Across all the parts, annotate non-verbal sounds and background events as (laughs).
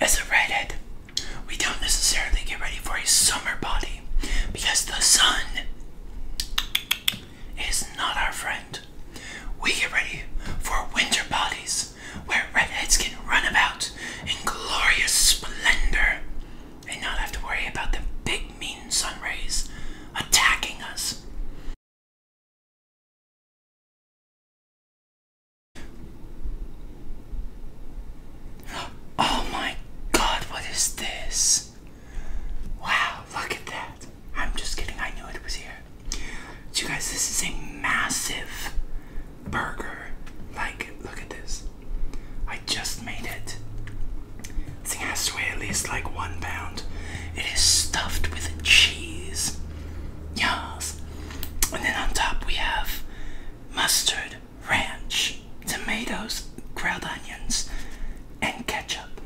As a redhead, we don't necessarily get ready for a summer body because the sun is not our friend. We get ready for winter bodies where redheads can run about in glorious splendor and not have to worry about the big mean sun rays attacking us. (gasps) Oh my god, what is this? Wow, look at that. I'm just kidding, I knew it was here. you guys, this is a massive burger. Like, look at this. I just made it. This thing has to weigh at least like one pound. It is stuffed with cheese. Yes. And then on top we have mustard, ranch, tomatoes, grilled onions, and ketchup.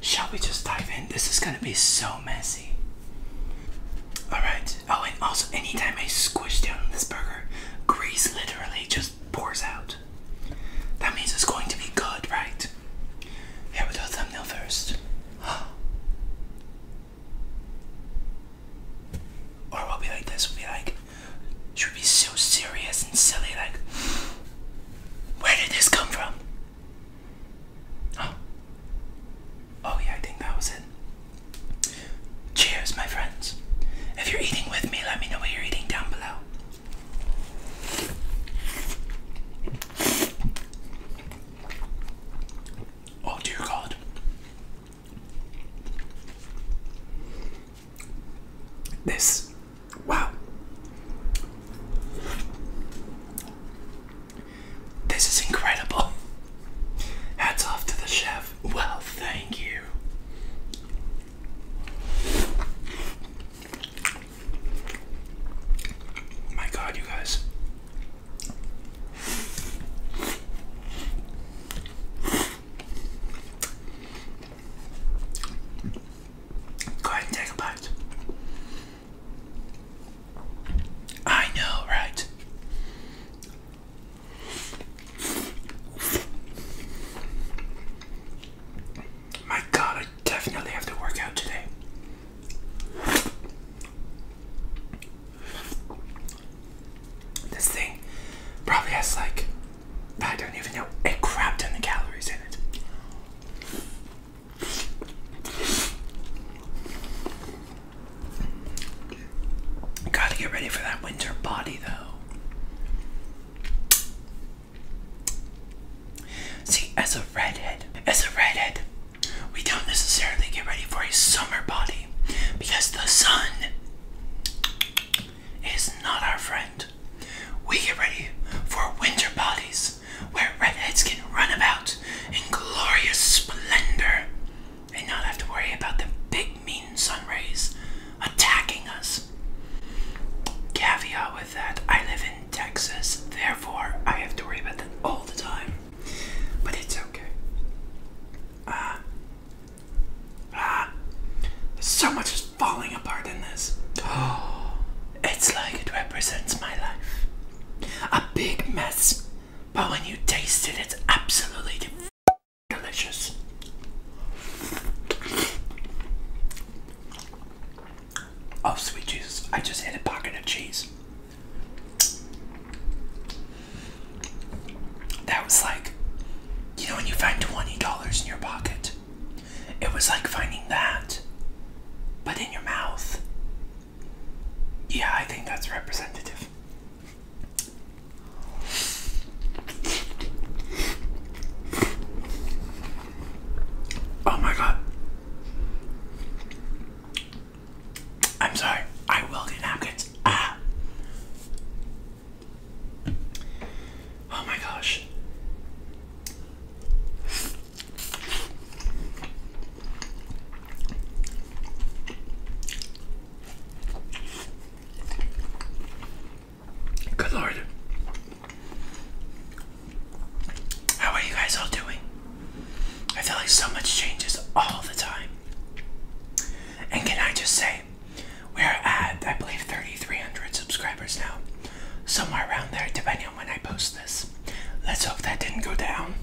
Shall we just dive in? This is gonna be so messy. Alright. Oh, and also, anytime I squish down this burger, grease literally just pours out. That means it's going to be good, right? Here we go, thumbnail first. (gasps) Or we'll be like this, we'll be like, should be so serious and silly, like, where did this come from? Oh, (gasps) oh yeah, I think that was it. Cheers, my friends. If you're eating with me, let me know what you're eating down below. Oh dear God. This, wow. This is incredible. (laughs) Hats off to the chef. Well, thank you. Oh my God, you guys. Go ahead and take a bite. I know, right? My god, I definitely have to work out today. This thing probably has like, I don't even know, a crap ton of calories in it. Gotta get ready for that winter body though. See, as a redhead, as a redhead, we don't necessarily get ready for a summer body because the sun is not our friend. We get ready for winter bodies where redheads can run about in glorious splendor and not have to worry about the big mean green sun rays attacking us. Caveat with that, I live in Texas, therefore I have to worry about that all the time. But it's okay. Ah. ah. So much is falling apart in this. Oh, (gasps) it's like it represents my life. A big mess, but when you taste it, it's absolutely Delicious. Oh, sweet Jesus. I just had a pocket of cheese. That was like, you know, when you find $20 in your pocket, it was like finding that, but in your mouth. Yeah, I think that's representative. Oh my god. I'm sorry. I will get napkins. Ah. Oh my gosh. Good Lord. How are you guys all doing? I feel like so much changes all the time. And can I just say, we're at, I believe, 3,300 subscribers now. Somewhere around there, depending on when I post this. Let's hope that didn't go down.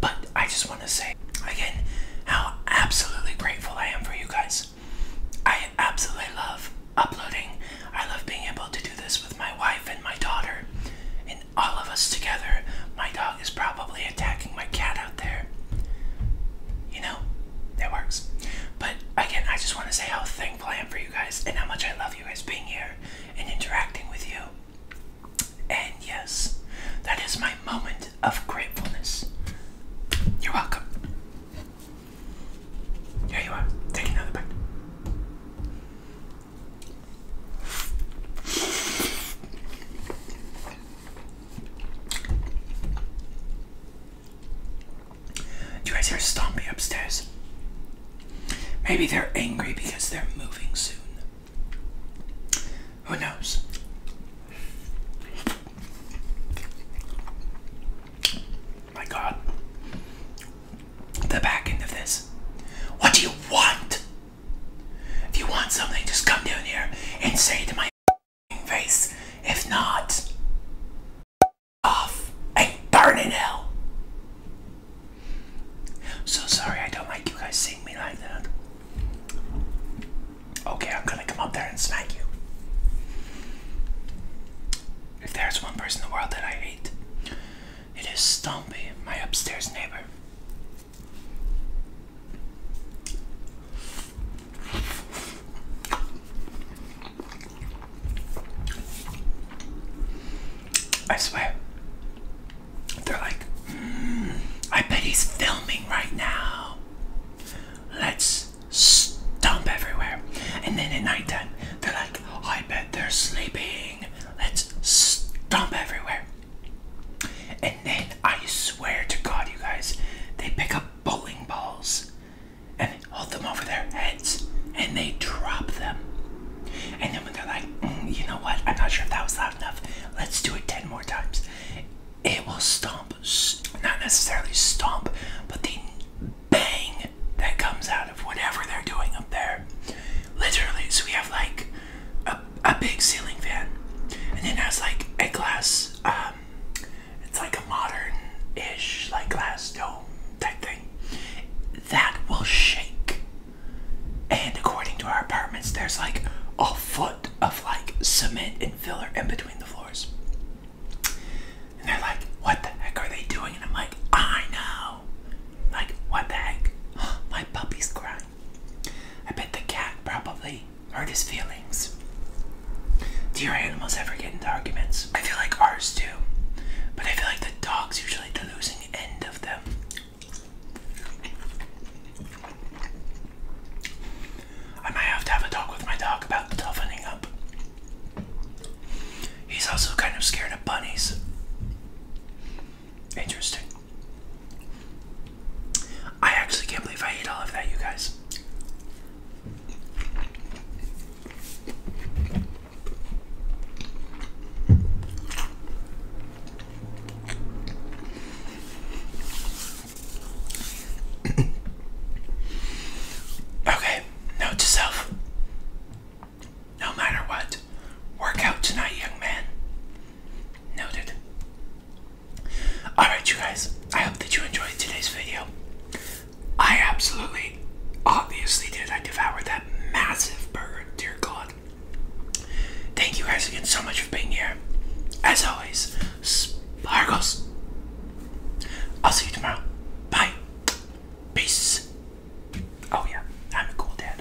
But I just want to say again how absolutely grateful I am for you guys. I absolutely love uploading. I love being able to do this with my wife and my daughter and all of us together. My dog is probably attacking my cat out there. You know, that works. But again, I just want to say how thankful I am for you guys and how much I love you guys being here and interacting with you. And yes, that is my moment of gratefulness. You're welcome. Here you are. Take another bite. Do you guys hear stomping upstairs? Maybe they're angry because they're moving soon. Who knows? My god. The back end of this. What do you want? If you want something, just come down here and say it to my face. If not, off and burn in hell. So sorry I don't like you guys seeing me like that. Okay, I'm gonna come up there and smack you. If there's one person in the world that I hate, it is Stumpy, my upstairs neighbor. I swear. They're like, hmm, I bet he's filming right now. Let's stomp everywhere. And then at nighttime, they're like, I bet they're sleeping. Let's stomp everywhere. And then I swear to God, you guys, they pick up bowling balls and hold them over their heads and they drop them. And then when they're like, mm, you know what, I'm not sure if that was loud enough, let's do it 10 more times. It will stomp, not necessarily stomp, but the bang that comes out of whatever they're doing up there. Literally, so we have like a, a big ceiling fan, and then it has like a glass um, it's like a modern-ish, like glass dome type thing. That will shake. And according to our apartments, there's like a foot of like cement and filler in between the floors. And they're like, what the heck are they doing? And I'm like, I know. Like, what the heck? (gasps) My puppy's crying. I bet the cat probably hurt his feelings. Do your animals ever get into arguments? I feel like ours do, but I feel like the dog's usually the losing end of them. I might have to have a talk with my dog about toughening up. He's also kind of scared of bunnies. Interesting. I actually can't believe I ate all of that, you guys okay, note to No matter what, work out tonight, young man. Noted. Alright, you guys, I hope that you enjoyed today's video. I absolutely, obviously did. I devoured that massive burger. dear God. Thank you guys again so much for being here. As always, sparkles. I'll see you tomorrow. Bye. Peace. Oh, yeah, I'm a cool dad.